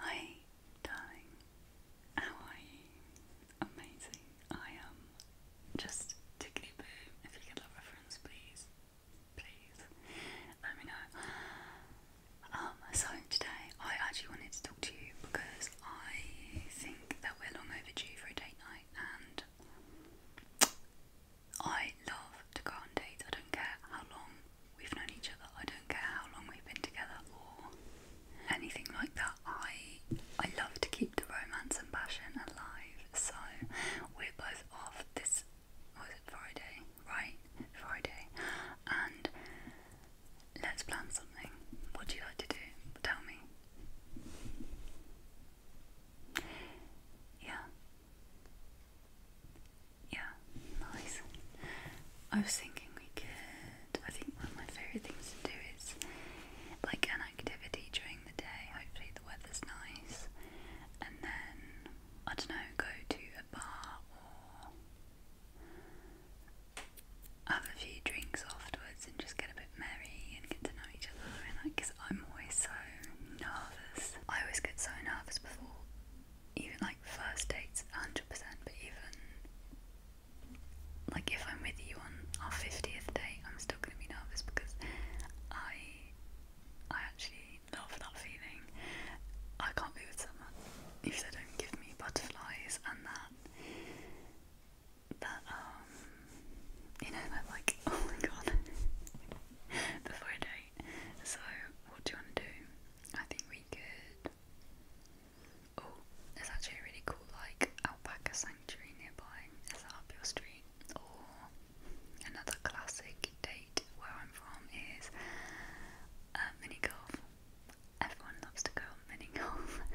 Hi, darling. How are you? Amazing. I am um, just tickly boom. If you get that reference, please, please let me know. Um, so today I actually wanted to talk to you because I think that we're long overdue for a date night, and I love to go on dates. I don't care how long we've known each other. I don't care how long we've been together or anything like that. I I love to keep the romance and passion alive. So we're both off this was it Friday, right? Friday, and let's plan something. What do you like to do? Tell me. Yeah. Yeah, nice. I was thinking we could. I think one of my favourite things to do is like an activity during the day. Hopefully the weather's nice, and then I don't know, go to a bar or have a few drinks afterwards and just get a bit merry and get to know each other. And like, cause I'm always so nervous. I always get so nervous before even like first dates, 100%, but even like if I'm with you on our 50th day, I'm still going to be nervous because I I actually love that feeling. I can't be with someone if they don't give me butterflies and that that um you know that like oh my god before a date. So what do you want to do? I think we could Oh, there's actually a really cool like alpaca sanctuary nearby. Is that street? Or another classic date where I'm from is uh, mini golf. Everyone loves to go mini golf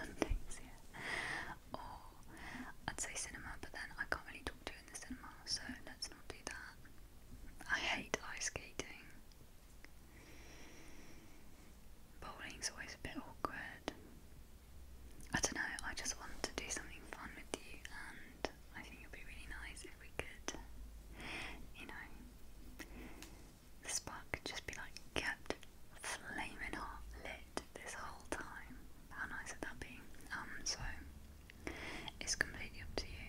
on yeah. Or I'd say cinema, but then I can't really talk to you in the cinema, so let's not do that. I hate ice skating. Bowling's always a bit awkward. I don't know, I just want to do something fun with you, and I think it would be really nice if we could, you know, the spark just be like kept flaming hot lit this whole time. How nice would that be? Um, so it's completely up to you.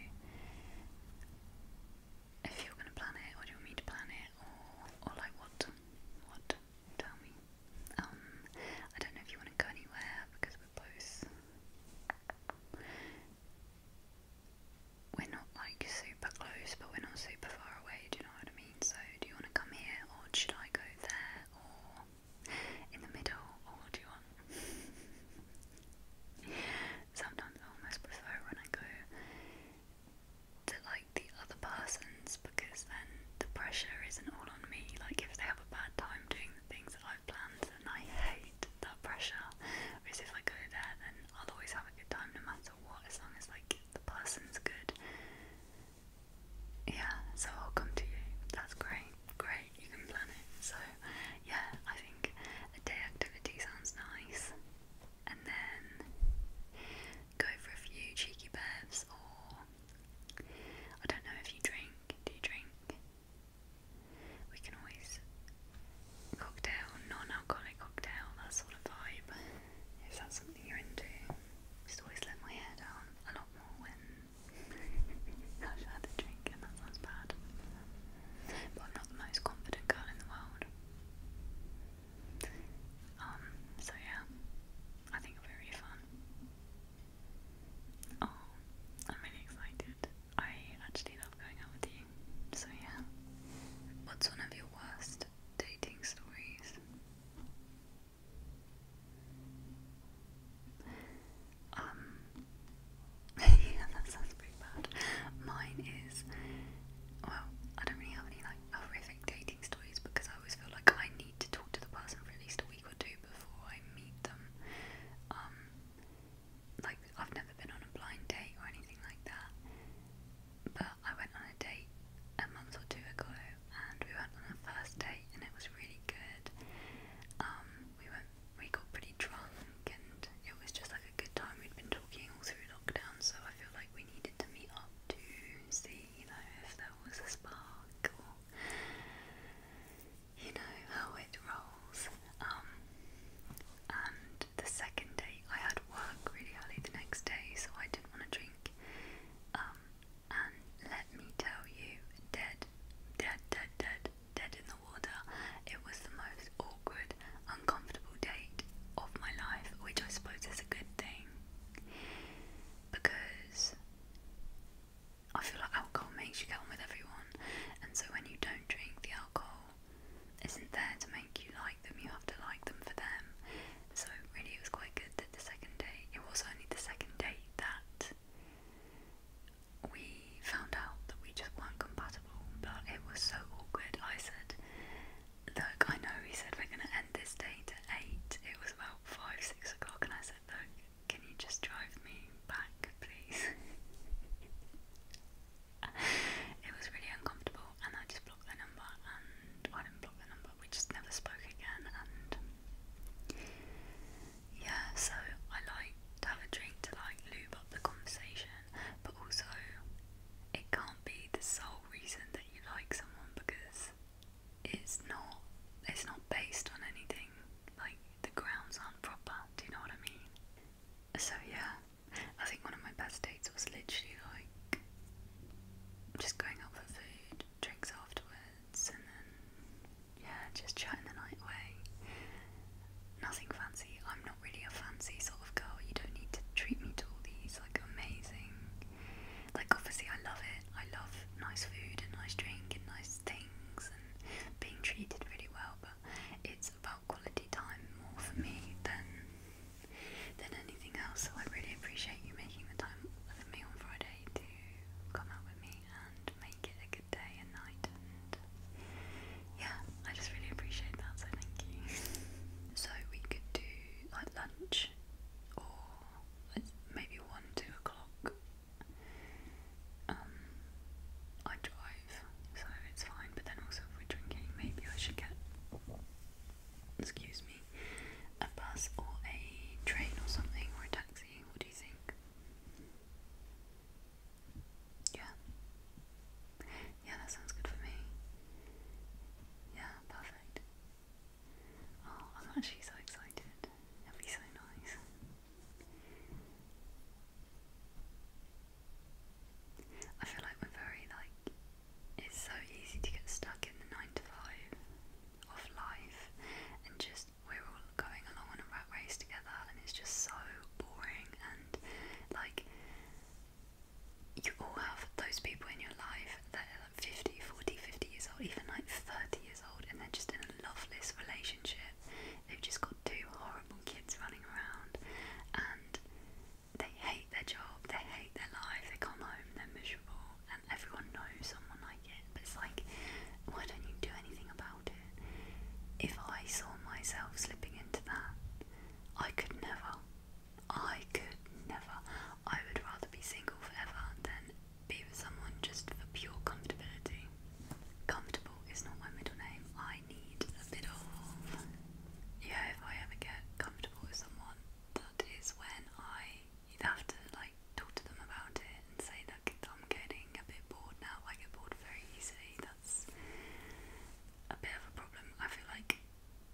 If you're gonna plan it, or do you want to plan it, or or like what? What? Tell me. Um, I don't know if you want to go anywhere because we're both. We're not like super close, but we're not super far away. Do you know what I mean? So, do you want to come here, or should I go there, or in the middle, or what do you want? sometimes I almost prefer when I go to like the other person's because then the pressure isn't all on me. Like if they have a bad time doing the things that I've planned, then I hate that pressure. Whereas if I go there, then I'll always have a good time no matter what, as long as like the person's good. Yeah, so I'll come to you. That's great, great. You can plan it. So yeah, I think a day activity sounds nice. And then go for a few cheeky bevs, or I don't know if you drink. Do you drink? We can always cocktail, non-alcoholic cocktail, that sort of vibe. If that's something you're into, just always let my hair down a lot more when I've had drink, and that sounds bad but I'm not the most confident girl in the world. Um, so yeah, I think it fun. Oh, I'm really excited. I actually love going out with you. So yeah. What's one of your worst dating stories? Um, yeah, that sounds pretty bad. Mine is, well, I don't really have any like horrific dating stories because I always feel like I need to talk to the person for at least a week or two before I meet them. Um, like I've never been on a blind date or anything like that, but I went on a date a month or two ago, and we went on a first date, and it was really good. Um, we went, we got pretty drunk, and it was just like a good time. We'd been talking all through lockdown, so I feel like we needed to meet up to see, you know, if there was a spark or, you know, how it rolls. Um, and the second day, I had work really early the next day, so I didn't want to drink. Um, and let me tell you, dead, dead, dead, dead, dead in the water. It was the most awkward, uncomfortable date of my life, which I suppose is a good thing because I feel like alcohol makes you get on with everyone, and so when you don't drink, the alcohol isn't there to make you like them, you have to like them for them. So, really, it was quite good that the second date, it was only the second date that we found out that we just weren't compatible, but it was so awkward. I said, Look, I know he said we're gonna end this date at 8, it was about 5, 6 o'clock, and I said, Look, can you just drive me back, please? it was really uncomfortable, and I just blocked the number, and I didn't block their number, we just never spoke again, and yeah, so I like to have a drink to like lube up the conversation, but also it can't be the sole reason that you like someone because it's not it's not based on anything like the grounds aren't proper do you know what I mean so yeah I think one of my best dates was literally like just going out for food drinks afterwards and then yeah just chatting the night away nothing fancy I'm not really a fancy sort of girl. You don't need to treat me to all these like amazing. Like obviously I love it. I love nice food and nice drink and nice things and being treated really well. But it's about quality time more for me than than anything else. So I really appreciate you making the time with me on Friday to come out with me and make it a day and night and yeah, I just really appreciate that, so thank you. so we could do like lunch or maybe one, two o'clock. Um, I drive, so it's fine, but then also if we're drinking maybe I should get excuse me, a bus or a train or something or a taxi. What do you think? Yeah. Yeah, that sounds good for me. Yeah, perfect. Oh, I'm actually so excited. That'd be so nice. I feel like we're very like it's so easy to get stuck in the nine to five of life and just we're all going along on a rat race together and it's just so boring and like you all have those people in your life that are like 50, 40, 50 years old, even like 30 years old, and they're just in a loveless relationship. They've just got two horrible kids running around and they hate their job, they hate their life, they come home, they're miserable, and everyone knows someone like it. But it's like, why don't you do anything about if I saw myself slipping into that, I could never. I could never. I would rather be single forever than be with someone just for pure comfortability. Comfortable is not my middle name. I need a bit of. Yeah, if I ever get comfortable with someone, that is when I. You'd have to like talk to them about it and say, look, I'm getting a bit bored now. I get bored very easily that's a bit of a problem. I feel like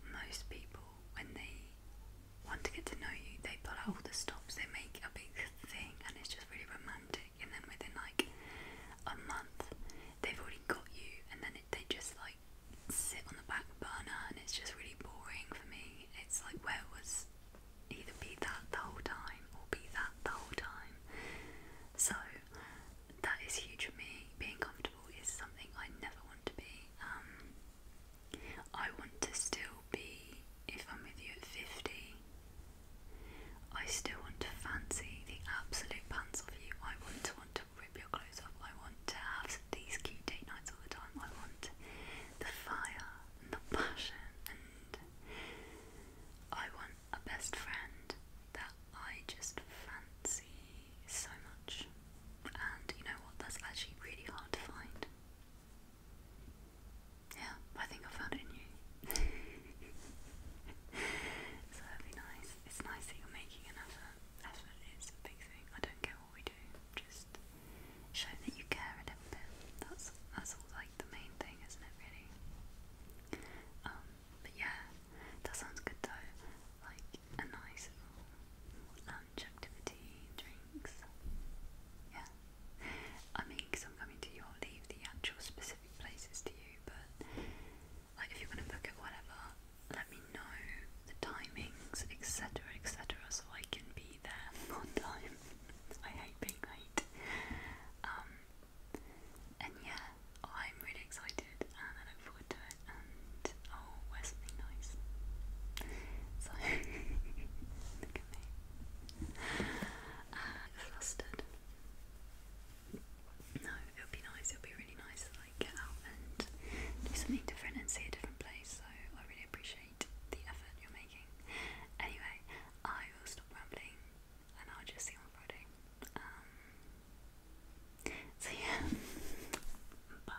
most people, when they want to get to know you, they pull out all the stops, they make a big thing, and it's just really romantic. And then within like a month, they've already got you, and then it, they just like sit on the back burner, and it's just really boring for me. It's like, where was either be that the whole time or be that the whole time? So that is huge for me. Being comfortable is something I never want to be. Um, I want to still be, if I'm with you at 50, I still want to fancy the absolute pants off you. I want to want to rip your clothes off. I want to have these cute date nights all the time. I want the fire and the passion and I want a best friend that I just fancy so much. And you know what? That's actually really hard to find. Yeah, I think I found it in you. so that'd be nice. It's nice that you're making an effort. Effort is a big thing. I don't care what we do. Just show that you care a little bit. That's that's like the main thing, isn't it? Really. Um, but yeah, that sounds good though. Like a nice lunch activity, drinks. Yeah. I mean, because I'm coming to you, I'll leave the actual specific places to you, but like if you're going to book it, whatever, let me know the timings, etc., etc., so I can be there on time. I hate being late. Um, and yeah, I'm really excited and I look forward to it and I'll something nice. So, look at me. flustered. Ah, no, it'll be nice, it'll be really nice like get out and do something different and see a different place, so I really appreciate the effort you're making. Anyway, I will stop rambling and I'll just see you on Friday. Um, so yeah, bye.